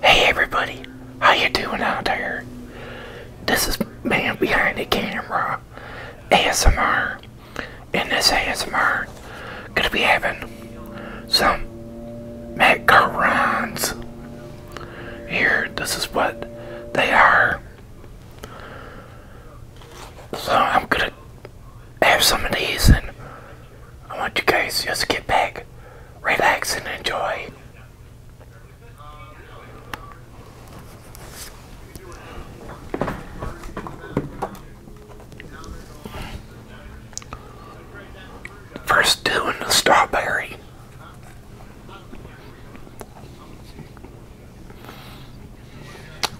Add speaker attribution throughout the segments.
Speaker 1: Hey everybody, how you doing out there? This is man behind the camera, ASMR. In this ASMR, gonna be having some macarons. Here, this is what they are. So I'm gonna have some of these and I want you guys just get back, relax, and enjoy. First doing the strawberry.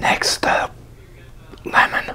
Speaker 1: Next up, lemon.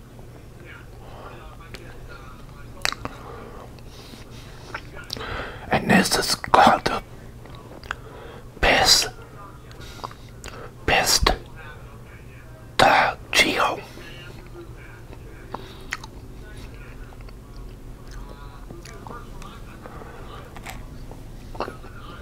Speaker 1: And this is called the best, the geo.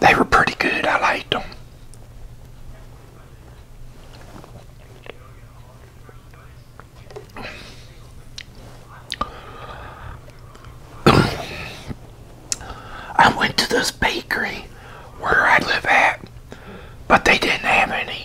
Speaker 1: They were pretty good. I liked them. I went to this bakery where I live at, but they didn't have any.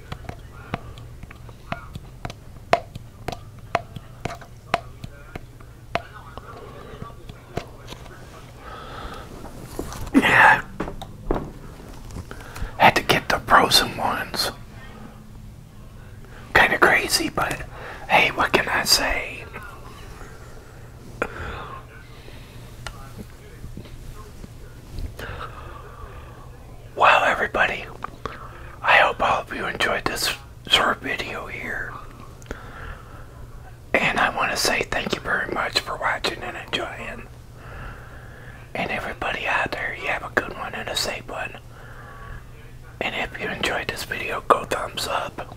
Speaker 1: Yeah, had to get the frozen ones. Kind of crazy, but hey, what can I say? Wow, everybody. I hope all of you enjoyed this short video here. And I want to say thank you very much for watching and enjoying. And everybody out there, you have a good one and a safe one. And if you enjoyed this video, go thumbs up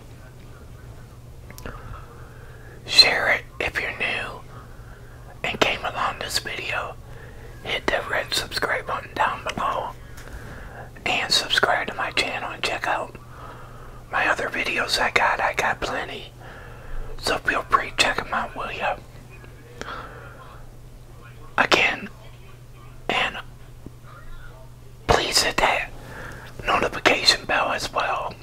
Speaker 1: share it if you're new and came along this video hit that red subscribe button down below and subscribe to my channel and check out my other videos I got I got plenty so feel free to check them out will ya again and please hit that notification bell as well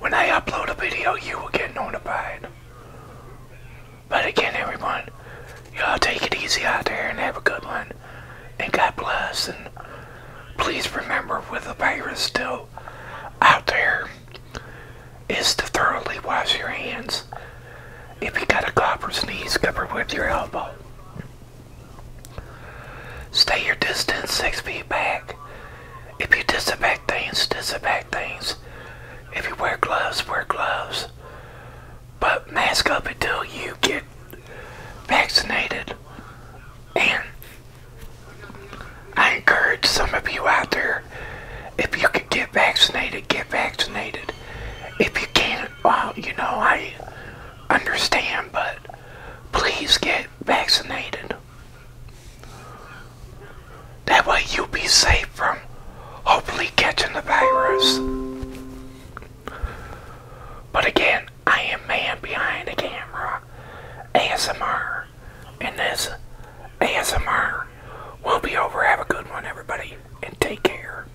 Speaker 1: when I upload a video, you will get notified. But again, everyone, y'all take it easy out there and have a good one. And God bless. And please remember, with the virus still out there, is to thoroughly wash your hands. If you got a cough or sneeze, cover with your elbow. Stay your distance six feet back. If you disinfect things, disinfect things. If you wear gloves, wear gloves. But mask up until you get vaccinated. And I encourage some of you out there, if you can get vaccinated, get vaccinated. If you can't, well, uh, you know, I understand, but please get vaccinated. That way you'll be safe from hopefully catching the virus. But again, I am man behind the camera, ASMR, and this ASMR will be over. Have a good one, everybody, and take care.